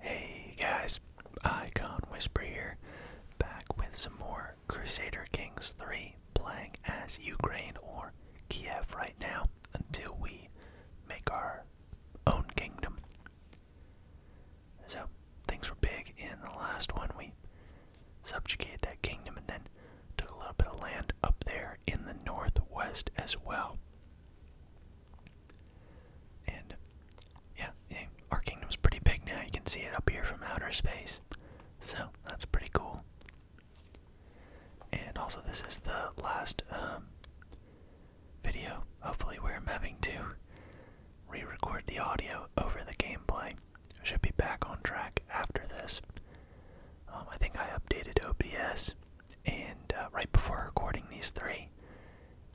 Hey guys, Icon Whisper here, back with some more Crusader Kings 3, playing as Ukraine or Kiev right now until we make our own kingdom. So, things were big in the last one. We subjugated that kingdom and then took a little bit of land up there in the northwest as well. And yeah, yeah, our kingdom's pretty big now. You can see it up here from outer space. So that's pretty cool. And also, this is the last um, video, hopefully, where I'm having to re record the audio over the gameplay. should be back on track after this. Um, I think I updated OBS, and uh, right before recording these three,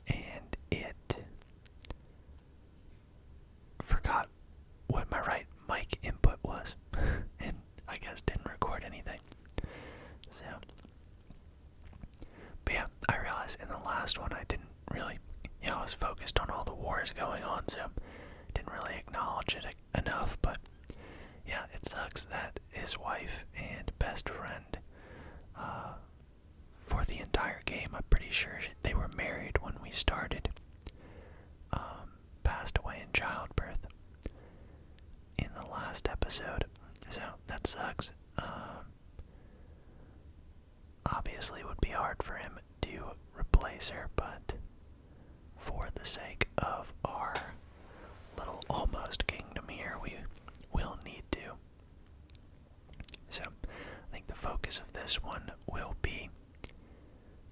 and it forgot what my right mic input was and I guess didn't record anything. So but yeah, I realized in the last one I didn't really yeah, I was focused on all the wars going on, so didn't really acknowledge it enough, but yeah, it sucks that his wife and best friend uh, for the entire game. I'm pretty sure they were married when we started. Um, passed away in childbirth in the last episode, so that sucks. Um, obviously, it would be hard for him to replace her, but for the sake of our little almost kingdom here, we will need to. So, I think the focus of this one will be,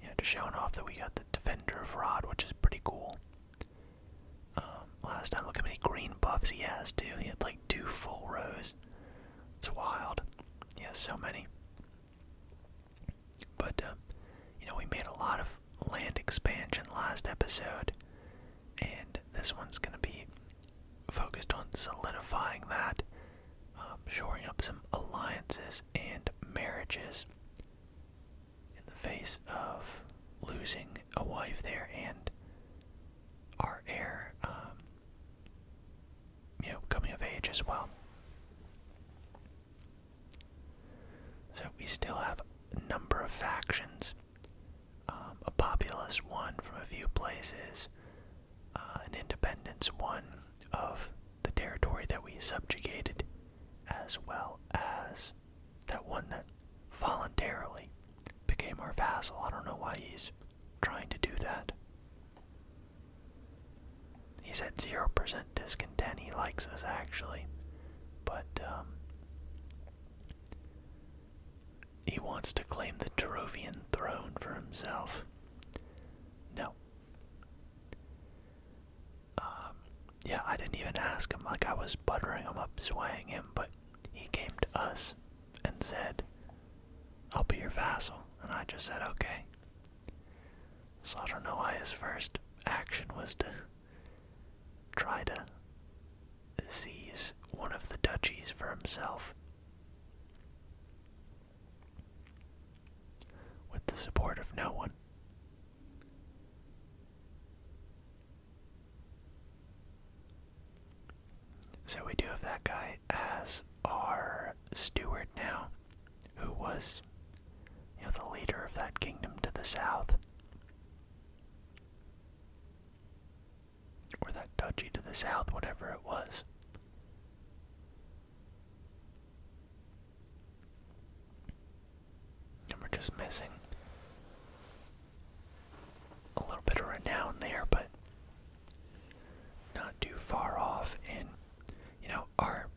you know, just showing off that we got the Defender of Rod, which is pretty cool. Um, last time, look how many green buffs he has too. He had like two full rows. It's wild. He has so many. But uh, you know, we made a lot of land expansion last episode and this one's going to be focused on solidifying that, um, shoring up some alliances and marriages in the face of losing a wife there and our heir, um, you know, coming of age as well. So we still have a number of factions um, a populist one from a few places, uh, an independence one of the territory that we subjugated, as well as that one that voluntarily became our vassal. I don't know why he's trying to do that. He's at 0% discontent. He likes us, actually. But, um, he wants to claim the Terovian throne for himself. No. Um, yeah, I didn't even ask him. Like, I was buttering him up, swaying him, but he came to us and said, I'll be your vassal. And I just said, okay. So I don't know why his first action was to try to seize one of the duchies for himself. With the support of no one. So we do have that guy as our steward now, who was, you know, the leader of that kingdom to the south. Or that duchy to the south, whatever it was. And we're just missing a little bit of renown there, but not too far off. And, you know, our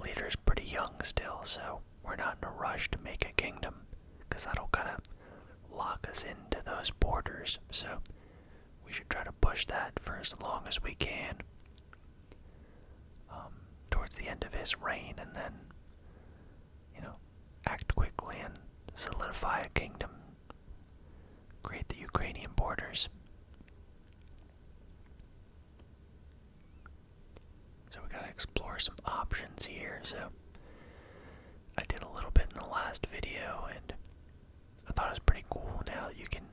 leader's pretty young still, so we're not in a rush to make a kingdom, because that'll kind of lock us into those borders. So we should try to push that for as long as we can um, towards the end of his reign and then, you know, act quickly and solidify a kingdom, create the Ukrainian borders. So we gotta explore some options here. So I did a little bit in the last video, and I thought it was pretty cool now you can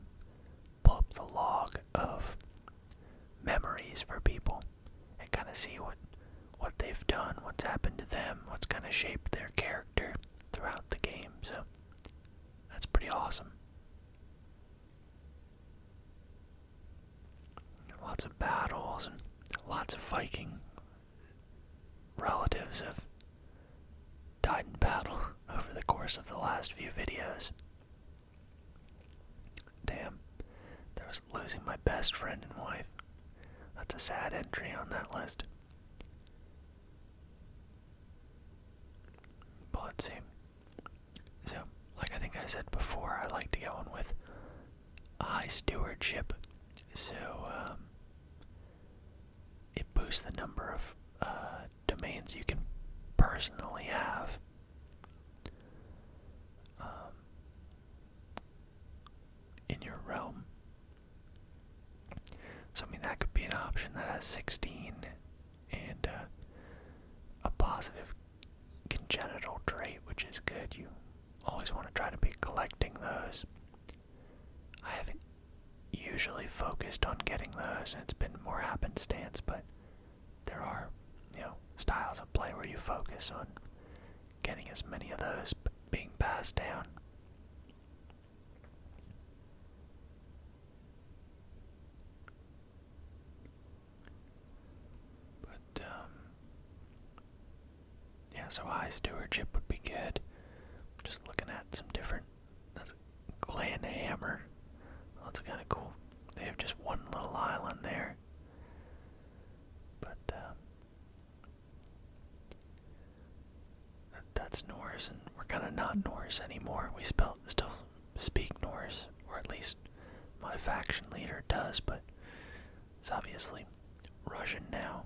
pull up the log of memories for people and kind of see what what they've done, what's happened to them, what's kind of shaped their character throughout the game. So that's pretty awesome. Lots of battles and lots of Viking relatives have died in battle over the course of the last few videos. Damn, there was losing my best friend and wife. That's a sad entry on that list. But let's see. So, like I think I said before, I like to go on with high stewardship. So um, it boosts the number of uh, domains you can personally have. Um, in your realm. So, I mean, that could be an option that has 16 and uh, a positive congenital trait, which is good. You always want to try to be collecting those. I haven't usually focused on getting those, and it's been more happenstance, but there are, you know, styles of play where you focus on getting as many of those being passed down. But, um, yeah, so high stewardship would be good. Just looking at some different. That's clan hammer. that's kind of cool. They have just one little island there. But uh, that's Norse, and we're kind of not Norse anymore. We still speak Norse, or at least my faction leader does, but it's obviously Russian now.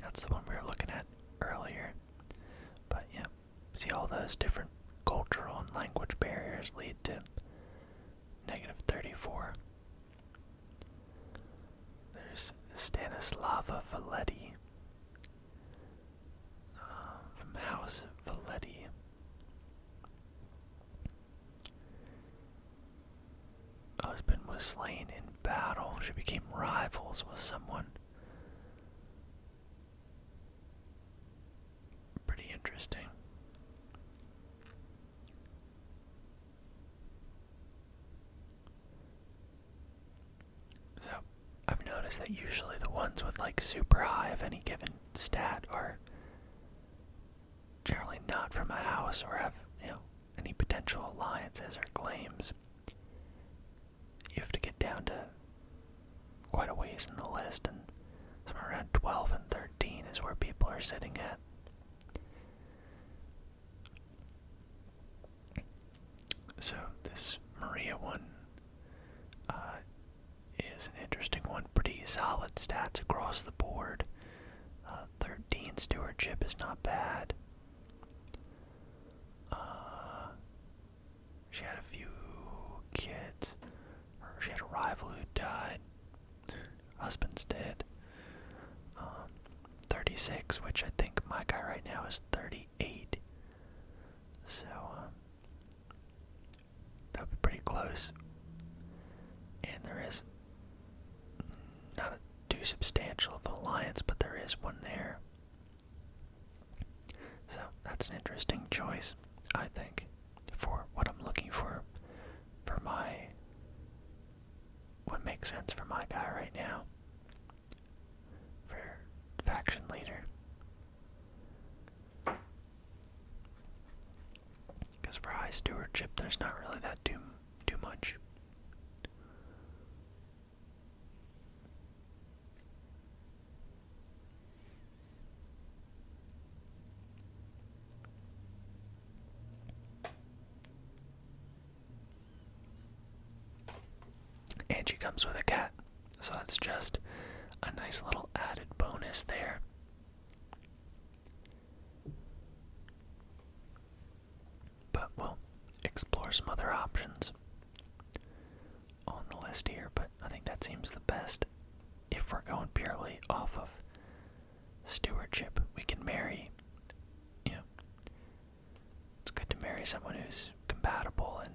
That's the one we were looking at earlier. But yeah, see all those different cultural and language barriers lead to negative 34. There's Stanislava Valetti uh, from House Valetti husband was slain in battle. She became rivals with someone. Pretty interesting. So, I've noticed that usually the ones with like super high of any given stat are generally not from a house or have, you know, any potential alliances or claims, you have to get down to quite a ways in the list, and somewhere around 12 and 13 is where people are sitting at. So, this Maria one uh, is an interesting one. Pretty solid stats across the board. Uh, 13 stewardship is not bad. Uh, she had a few kids. she had a rival who died. Husband's dead. Um, 36, which I think my guy right now is 38. So, um, that'd be pretty close. And there is not too substantial of alliance, but there is one there. So that's an interesting choice, I think, for what I'm looking for, for my. What makes sense for my guy right now? For faction leader. Because for high stewardship, there's not really that too too much. And comes with a cat, so that's just a nice little added bonus there. But we'll explore some other options on the list here, but I think that seems the best if we're going purely off of stewardship. We can marry, you know, it's good to marry someone who's compatible and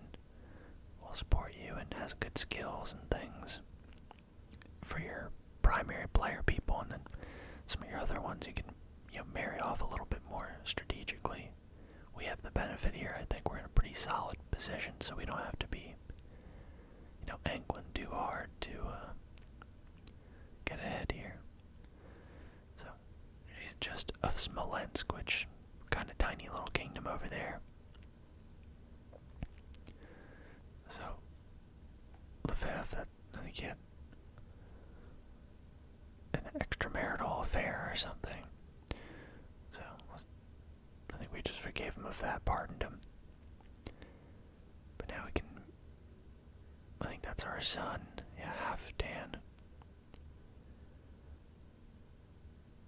will support you and has good skills and things for your primary player people, and then some of your other ones you can marry off a little bit more strategically. We have the benefit here. I think we're in a pretty solid position, so we don't have to be you know angling too hard to uh, get ahead here. So she's just of Smolensk, which kind of tiny little kingdom over there. So Lefebvre I think he had an extramarital affair or something. So I think we just forgave him of that, pardoned him. But now we can. I think that's our son. Yeah, half Dan.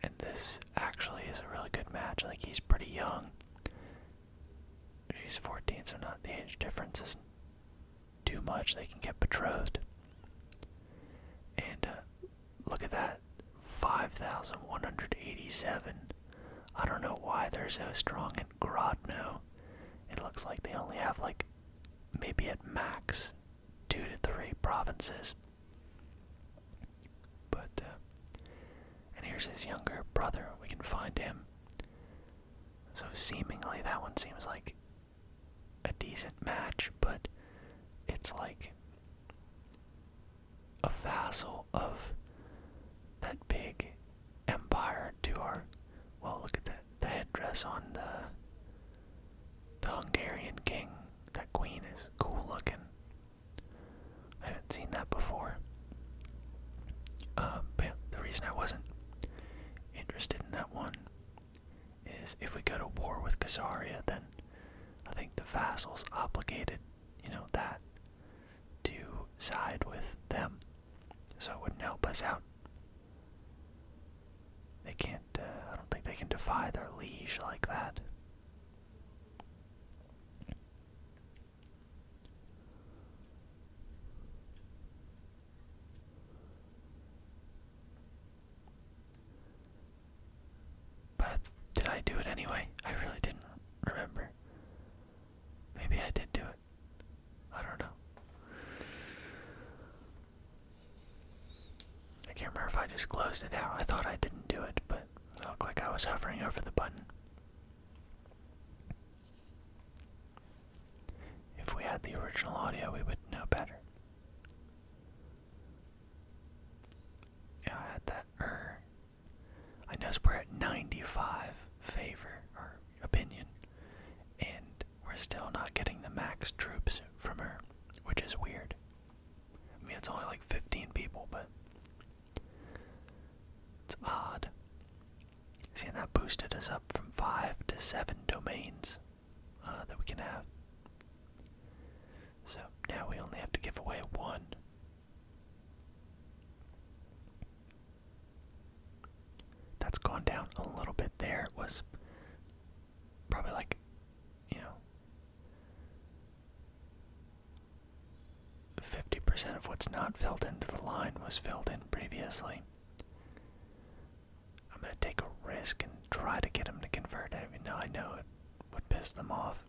And this actually is a really good match. Like he's pretty young she's 14, so not the age difference is too much. They can get betrothed. And uh, look at that 5,187. I don't know why they're so strong in Grodno. It looks like they only have, like, maybe at max two to three provinces. But, uh, and here's his younger brother. We can find him. So seemingly that one seems like a decent match, but it's like a vassal of that big empire to our well look at the the headdress on the the Hungarian king. That queen is cool looking. I haven't seen that before. Uh, yeah, the reason I wasn't interested in that one is if we go to war with Gazaria, then I think the vassal's obligated, you know, that to side with them, so it wouldn't help us out. They can't, uh, I don't think they can defy their liege like that. But did I do it anyway? I really didn't remember. Maybe I did do it. I don't know. I can't remember if I just closed it out. I thought I didn't do it, but it looked like I was hovering over the button. If we had the original audio, we would know better. Yeah, I had that er, I noticed we're at 95 favor or opinion, and we're still not getting the max troops from her, which is weird. I mean, it's only like 15 people, but it's odd. See, and that boosted us up from five to seven domains uh, that we can have. So now we only have to give away one. That's gone down a little bit there. It was probably like, you know, 50% of what's not filled into the line was filled in previously. I'm gonna take a risk and try to get him to convert, even though I know it would piss them off.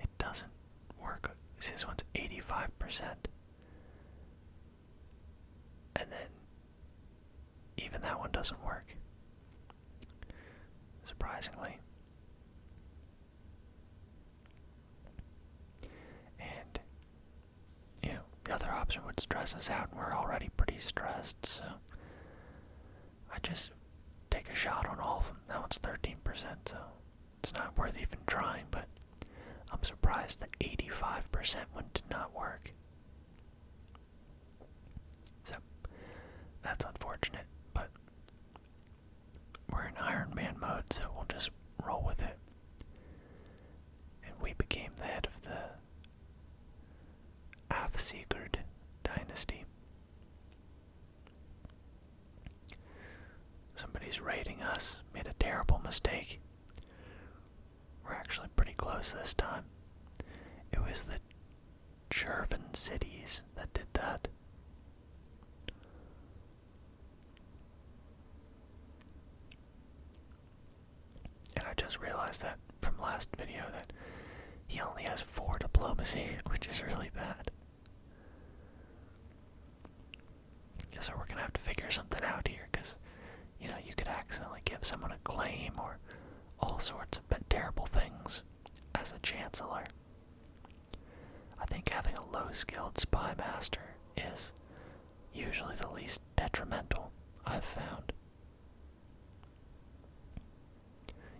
It doesn't work. See, this one's 85%. And then, even that one doesn't work. Surprisingly. And yeah, the other option would stress us out, and we're already pretty stressed, so I just take a shot on all of them. That one's 13%, so it's not worth even trying, but I'm surprised that 85% one did not work. So, that's unfortunate, but we're in Iron Man mode, so we'll just roll with it and we became the head of the Afsigurd dynasty. Somebody's raiding us, made a terrible mistake. We're actually pretty close this time. It was the Chervan cities that did that. And I just realized that from last video that he only has four diplomacy, which is really bad. So we're gonna have to figure something out here, because, you know, you could accidentally give someone a claim or all sorts of terrible things as a chancellor. I think having a low skilled spy master is usually the least detrimental I've found.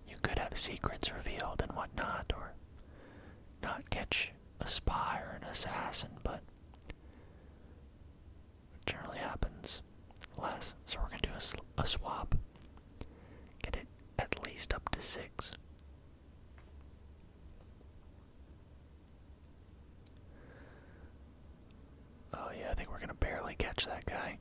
You could have secrets revealed and whatnot, or not catch a spy or an assassin, but generally happens less. So we're going to do a swap. Get it at least up to six. Oh, yeah, I think we're going to barely catch that guy.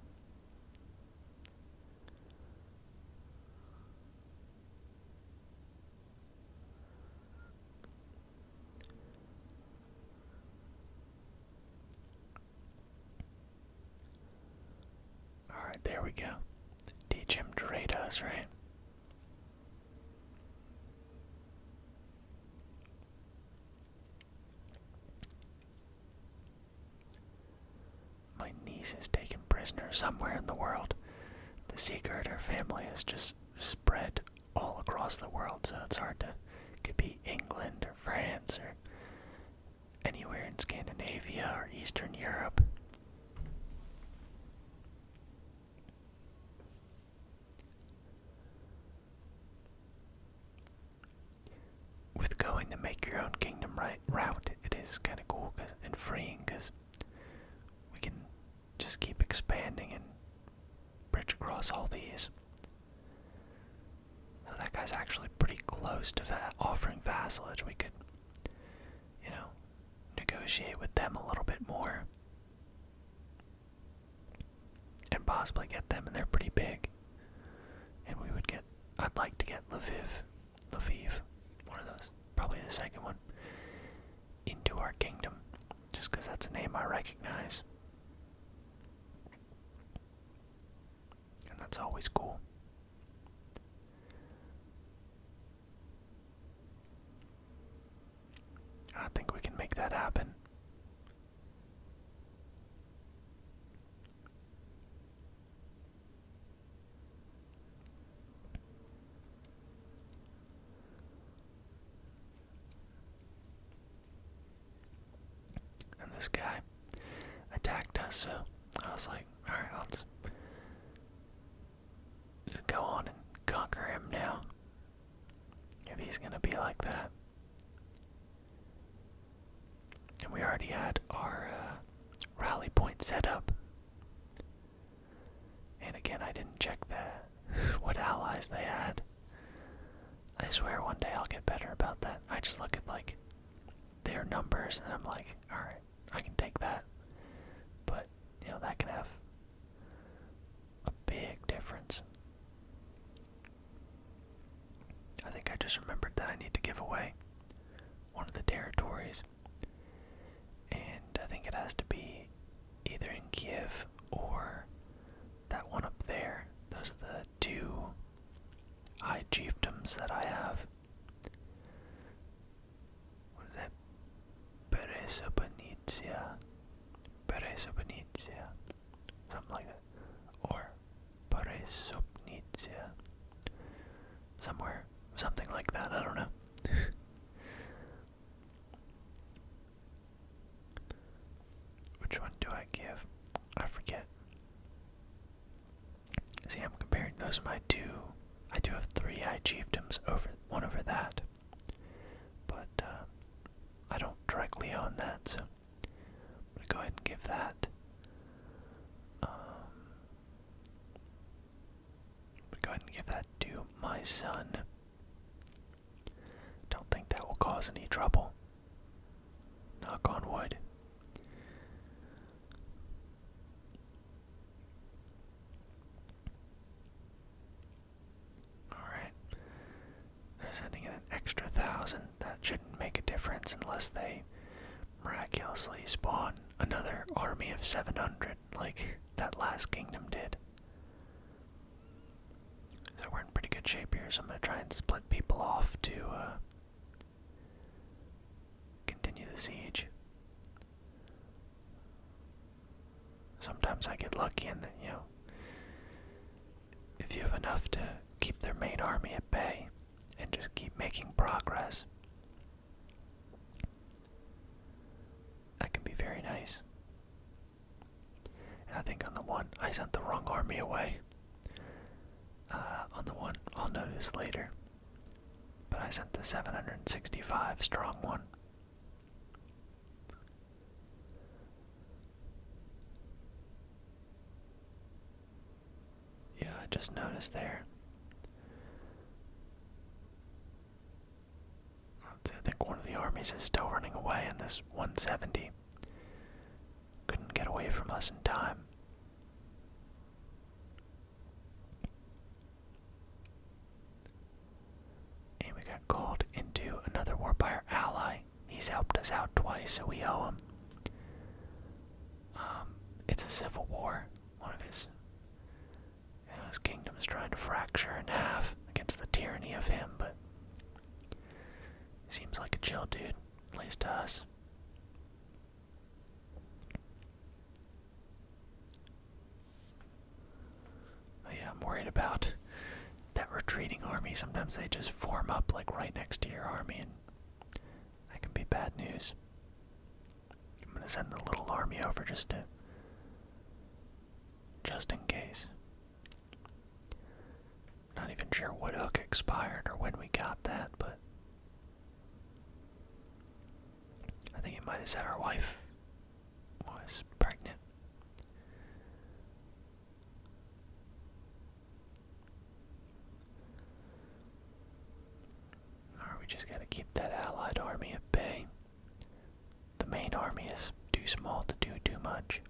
All right, there we go. Teach him to rate us, right? My niece is taken prisoner somewhere in the world. The secret her family is just spread all across the world, so it's hard to. could be England or France or anywhere in Scandinavia or Eastern Europe. With going to make your own kingdom right route, it is kind of cool cause, and freeing because we can just keep expanding and bridge across all these. So that guy's actually pretty close to offering vassalage. We could, you know, negotiate with them a little bit more and possibly get them, and they're pretty big. And we would get, I'd like to get Lviv, Lviv, one of those, probably the second one, into our kingdom, just because that's a name I recognize. And that's always cool. I think we can make that happen. And this guy attacked us, so I was like, alright, let's go on and conquer him now. If he's gonna be like that. And we already had our uh, rally point set up. And again, I didn't check the what allies they had. I swear one day I'll get better about that. I just look at like their numbers and I'm like, alright, I can take that. But, you know, that can have a big difference. I think I just remembered that I need to give away one of the territories, and I think it has to be either in Kiev or that one up there. Those are the two high chiefdoms that I have. What is that? Pereza Benicia. Pereza Benicia. Something like that. Or Peresopnitia. Somewhere. Something like that. I don't know. Which one do I give? I forget. See, I'm comparing those are my two. I do have three high chiefdoms over one over that, but uh, I don't directly own that, so I'm going to go ahead and give that. Um, go ahead and give that to my son. Don't think that will cause any trouble. Knock on wood. Alright. They're sending in an extra thousand. That shouldn't make a difference unless they miraculously spawn another army of 700 like that last kingdom did. So we're in pretty good shape here, so I'm going to try and split people off to uh, continue the siege. Sometimes I get lucky and, you know, if you have enough to keep their main army at bay and just keep making progress, that can be very nice. And I think on the one I sent the wrong army away. Uh, on the one I'll notice later. But I sent the 765 strong one yeah, I just noticed there. I think one of the armies is still running away in this 170. Couldn't get away from us in time. And we got called into another war by our ally. He's helped us out twice, so we owe him. Um, it's a civil war. One of his, his kingdom is trying to fracture in half against the tyranny of him, but seems like a chill dude, at least to us yeah, I'm worried about that retreating army. Sometimes they just form up like right next to your army, and that can be bad news. I'm gonna send the little army over just to. Just in case. Not even sure what hook expired or when we got that, but I think it might have said our wife was pregnant. Alright, we just gotta keep that allied army at bay. The main army is too small to do too much.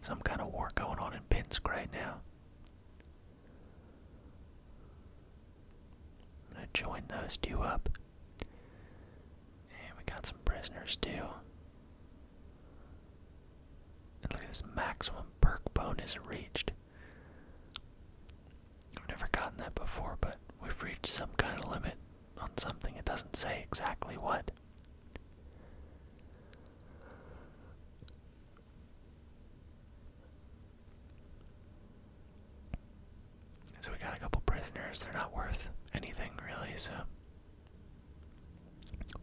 Some kind of war going on in Pinsk right now. I'm gonna join those two up. And we got some prisoners too. And look at this maximum perk bonus reached. I've never gotten that before, but we've reached some kind of limit on something. It doesn't say exactly what. So we got a couple prisoners. They're not worth anything, really, so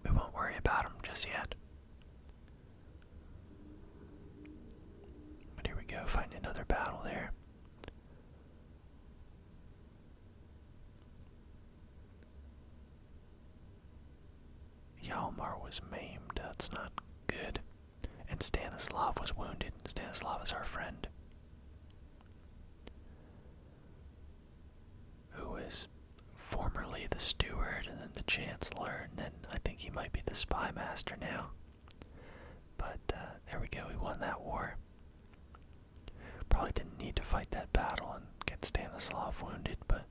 we won't worry about them just yet. But here we go, find another battle there. Yalmar was maimed. That's not good and Stanislav was wounded. Stanislav is our friend. Who is, formerly the steward and then the chancellor, and then I think he might be the spy master now. But uh, there we go, we won that war. Probably didn't need to fight that battle and get Stanislav wounded, but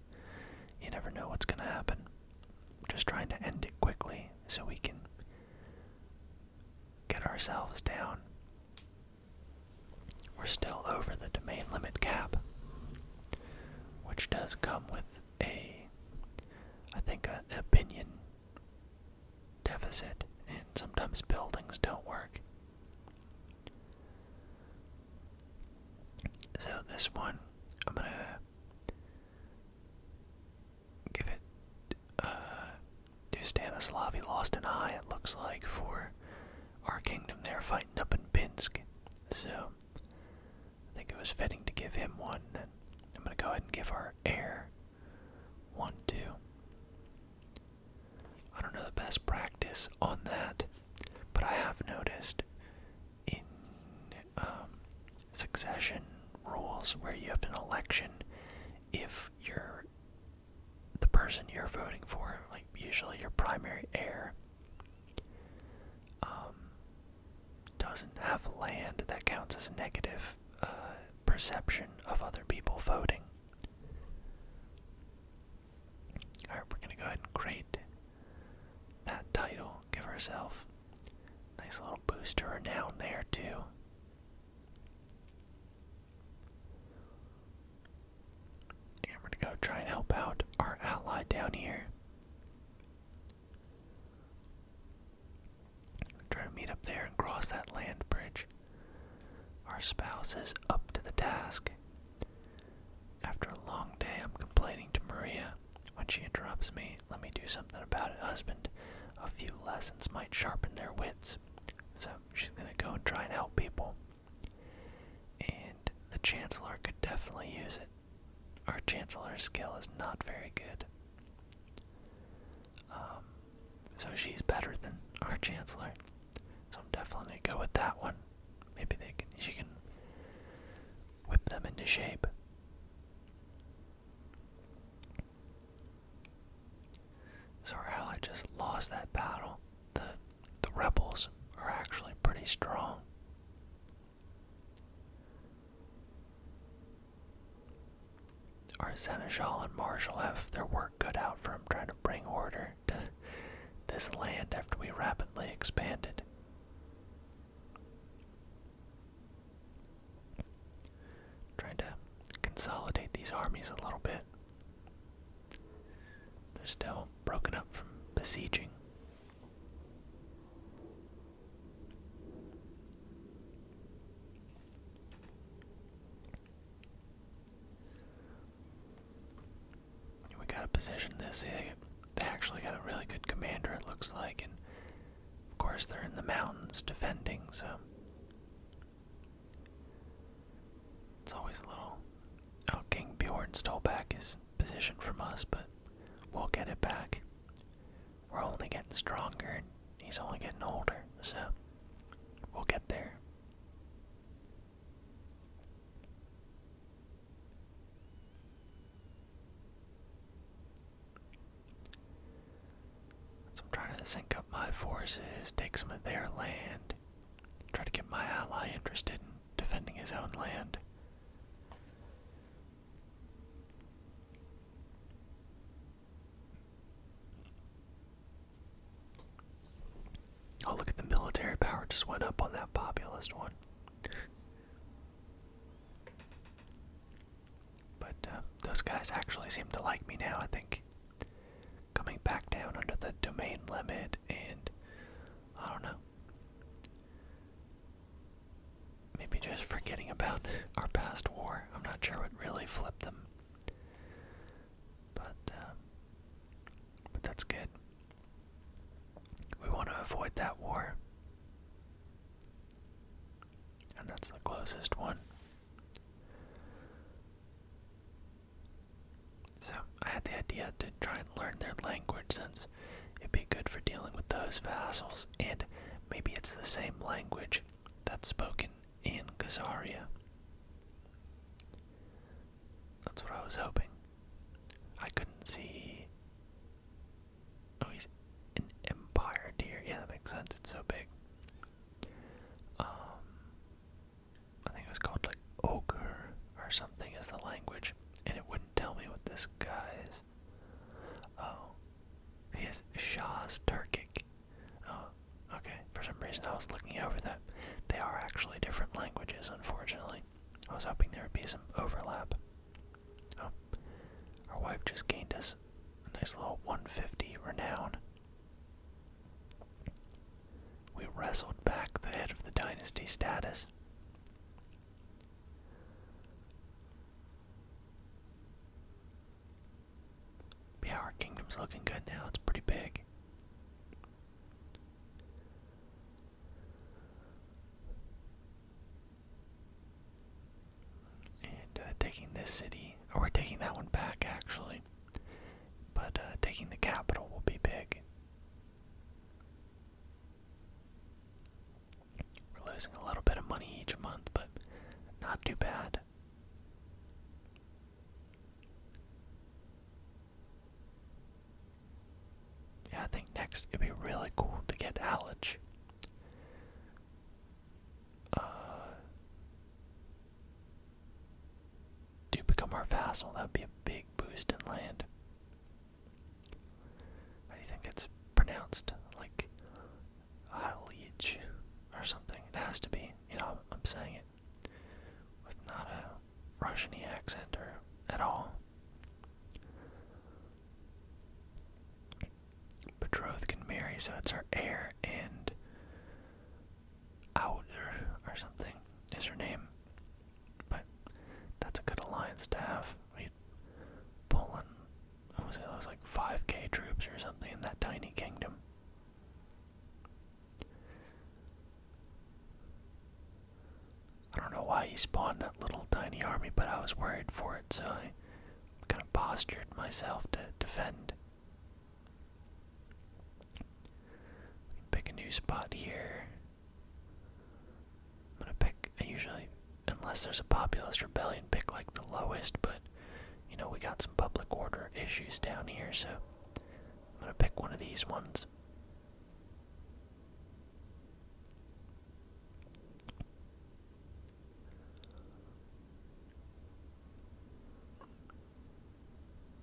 you never know what's going to happen. just trying to end it quickly so we can get ourselves down. We're still over the domain limit cap, which does come with a, I think, a, an opinion deficit, and sometimes buildings don't work. So, this one, I'm gonna give it uh, to Stanislav. He lost an eye, it looks like, for our kingdom there fighting up in Pinsk. So I think it was fitting to give him one. Then I'm going to go ahead and give our heir one, two. I don't know the best practice on that, but I have noticed in um, succession rules where you have an election if you're the person you're voting for, like usually your primary heir, um, doesn't have land that counts as a negative uh, perception of other people voting. Alright, we're gonna go ahead and create that title, give herself nice little boost to her there, too. I'm gonna go try and help out our ally down here. Try to meet up there and cross that land bridge. Our spouse is up to the task. After a long day, I'm complaining to Maria when she interrupts me. Let me do something something about a husband, a few lessons might sharpen their wits. So she's gonna go and try and help people. And the Chancellor could definitely use it. Our Chancellor's skill is not very good. Um, so she's better than our Chancellor. So I'm definitely gonna go with that one. Maybe they can she can whip them into shape. So our ally just lost that battle. The the rebels are actually pretty strong. Our Seneschal and Marshal have their work cut out for them trying to bring order to this land after we rapidly expanded. Trying to consolidate these armies a little bit. They're still broken up from besieging. We gotta position this. They actually got a really good commander, it looks like, and of course, they're in the mountains defending, so. It's always a little. Oh, King Bjorn stole back his position from us, but we'll get it back. We're only getting stronger, and he's only getting older, so we'll get there. So I'm trying to sync up my forces, take some of their land, try to get my ally interested in defending his own land. Oh, look at the military power just went up on that populist one. But uh, those guys actually seem to like me now, I think. Coming back down under the domain limit, and I don't know. Maybe just forgetting about our past war. I'm not sure what really flipped them. But, uh, but that's good. We want to avoid that war. And that's the closest one. So, I had the idea to try and learn their language since it'd be good for dealing with those vassals, and maybe it's the same language that's spoken in Khazaria. That's what I was hoping. I couldn't see Oh, he's an empire deer. Yeah, that makes sense. It's so big. Um, I think it was called like ochre or something as the language, and it wouldn't tell me what this guy Oh, he is Shah's Turkic. Oh, okay. For some reason, I was looking over that. They are actually different languages, unfortunately. I was hoping there would be some overlap. Oh, our wife just gained us nice little 150 renown. We wrestled back the head of the dynasty status. our kingdom's looking good now. It's pretty big and uh, taking this city, or we're taking that one back actually, but uh, taking the capital will be big. We're losing a little bit of money each month, but not too bad. I think next it'd be really cool to get Halage. Uh, do become our vassal. That would be a big boost in land. How do you think it's pronounced? Like Halij or something? It has to be. You know, I'm, saying it with not a Russian accent or at all betrothed can marry, so it's her heir and Outer or something is her name. But that's a good alliance to have. We Poland I was like five K troops or something in that tiny kingdom. I don't know why he spawned that little tiny army, but I was worried for it, so I kind of postured myself to defend. Pick a new spot here. I'm gonna pick, I usually, unless there's a populist rebellion, pick like the lowest, but you know, we got some public order issues down here, so I'm gonna pick one of these ones.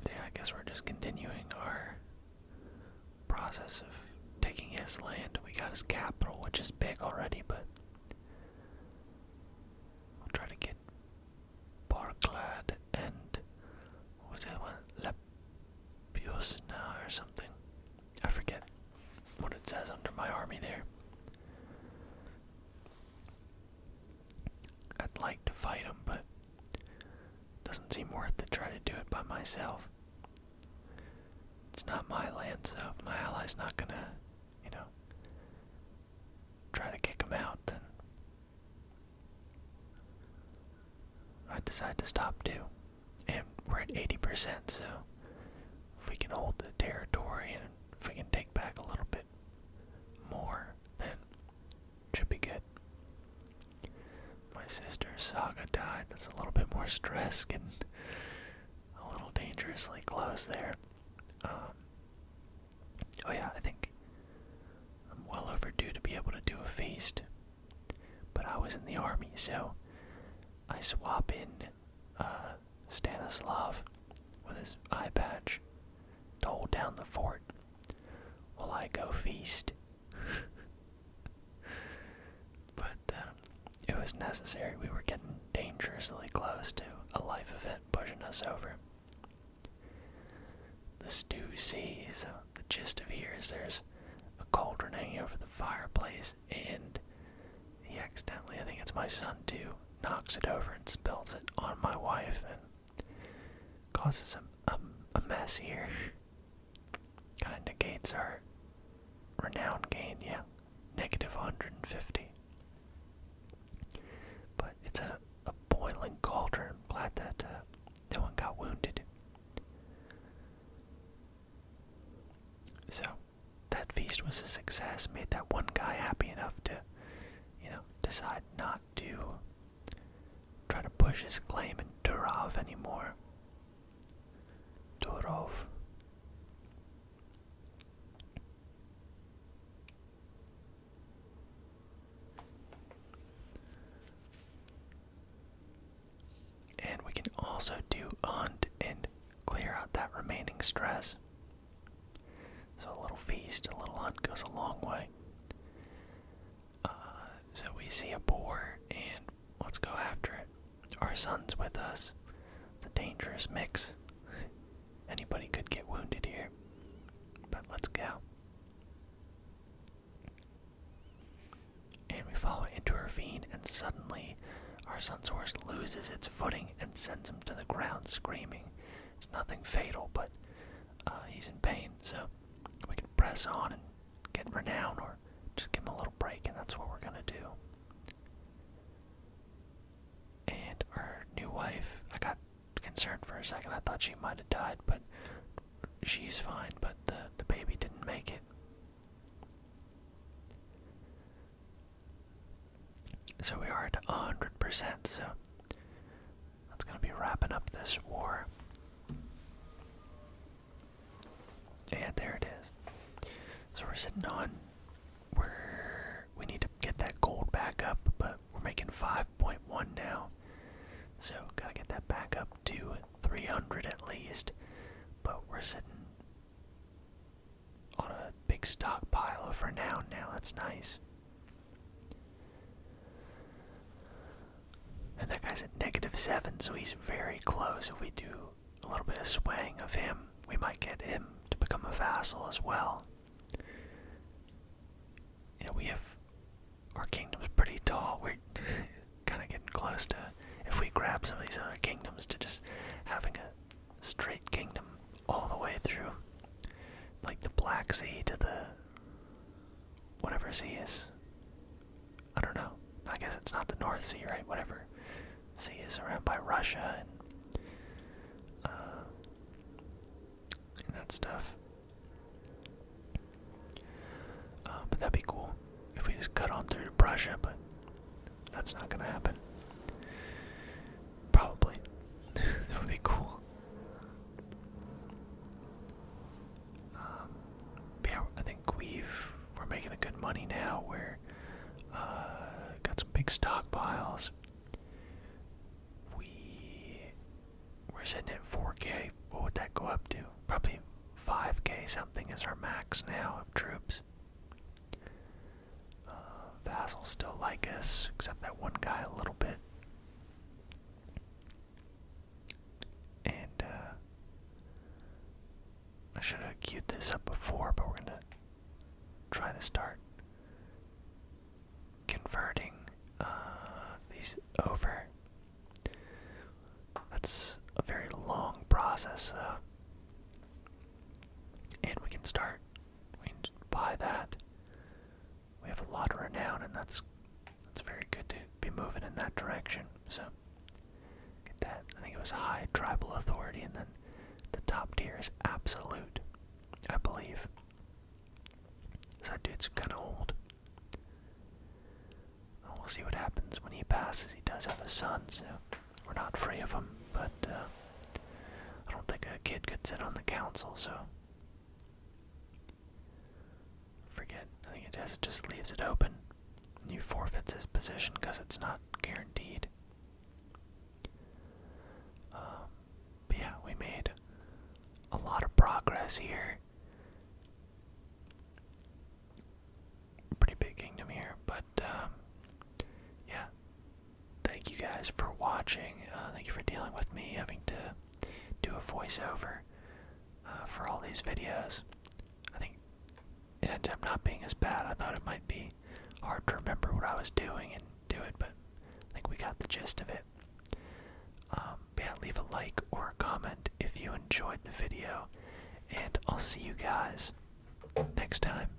Yeah, I guess we're just continuing our process of taking his land. We got his capital, which is big already, but i will try to get Barclad and was the one? Lepiosna or something. I forget what it says under my army there. I'd like to fight him, but doesn't seem worth to try to do it by myself. It's not my land, so if my ally's not gonna, you know, try to kick him out, then I decide to stop too. And we're at 80%, so if we can hold the territory and if we can take back a little bit more than should be good. My sister saga died. That's a little bit more stress and a little dangerously close there. Um, oh yeah, I think I'm well overdue to be able to do a feast. But I was in the army, so I swap in uh, Stanislav with his eye patch told down the fort while I go feast. but uh, it was necessary. We were getting dangerously close to a life event pushing us over. The stew sees. Uh, the gist of here is there's a cauldron hanging over the fireplace and he accidentally, I think it's my son too, knocks it over and spills it on my wife and causes a, a, mess here. Kind of negates our renown gain, yeah. Negative 150. But it's a, boiling cauldron. I'm glad that uh, no one got wounded. So, that feast was a success made that one guy happy enough to you know decide not to try to push his claim in Durov anymore Durov and we can also do hunt and clear out that remaining stress so a little feast, a little hunt goes a long way. Uh, so we see a boar and let's go after it. Our son's with us. The dangerous mix. Anybody could get wounded here. But let's go. And we fall into a ravine, and suddenly our son's horse loses its footing and sends him to the ground screaming. It's nothing fatal, but uh, he's in pain, so we can press on and get renown, or just give him a little break, and that's what we're gonna do. And our new wife, I got concerned for a second. I thought she might have died, but she's fine. But the the baby didn't make it. So we are at 100%, so that's going to be wrapping up this war. Yeah, there it is. So we're sitting on, we're, we need to get that gold back up, but we're making 5.1 now. So gotta get that back up to 300 at least, but we're sitting on a big stockpile of renown now. That's nice. And that guy's at negative seven, so he's very close. If we do a little bit of swaying of him, we might get him to become a vassal as well. You we have our kingdom's pretty tall. We're kind of getting close to if we grab some of these other kingdoms to just having a straight kingdom all the way through like the Black Sea to the whatever sea is. I don't know. I guess it's not the North Sea, right? Whatever sea is around by Russia and, uh, and that stuff. Uh, but that'd be cool if we just cut on through to Russia, but that's not gonna happen. Probably. that would be cool. Um, I think we've we're making a good money now. We're uh, got some big stockpiles. We we're sitting at 4K. What would that go up to? Probably 5K something is our max now of troops. Uh, Vassal still like us, except that one guy a little bit. And uh, I should have queued this up before, but we're gonna try to start converting uh, these over. That's a very long process, though. And we can start we can just buy that. We have a lot of renown, and that's that's very good to be moving in that direction. So get that. I think it was high tribal authority, and then the top tier is absolute, I believe. So that dude's kind of old. We'll see what happens when he passes. He does have a son, so we're not free of him, but. Uh, I don't think a kid could sit on the council, so. Forget. I think it does. It just leaves it open. And he forfeits his position because it's not guaranteed. Um, but yeah, we made a lot of progress here. Pretty big kingdom here, but um, yeah, thank you guys for watching. Uh, thank you for dealing with me having to do a voiceover uh, for all these videos. I think it ended up not being as bad. I thought it might be hard to remember what I was doing and do it, but I think we got the gist of it. Um, yeah, leave a like or a comment if you enjoyed the video, and I'll see you guys next time.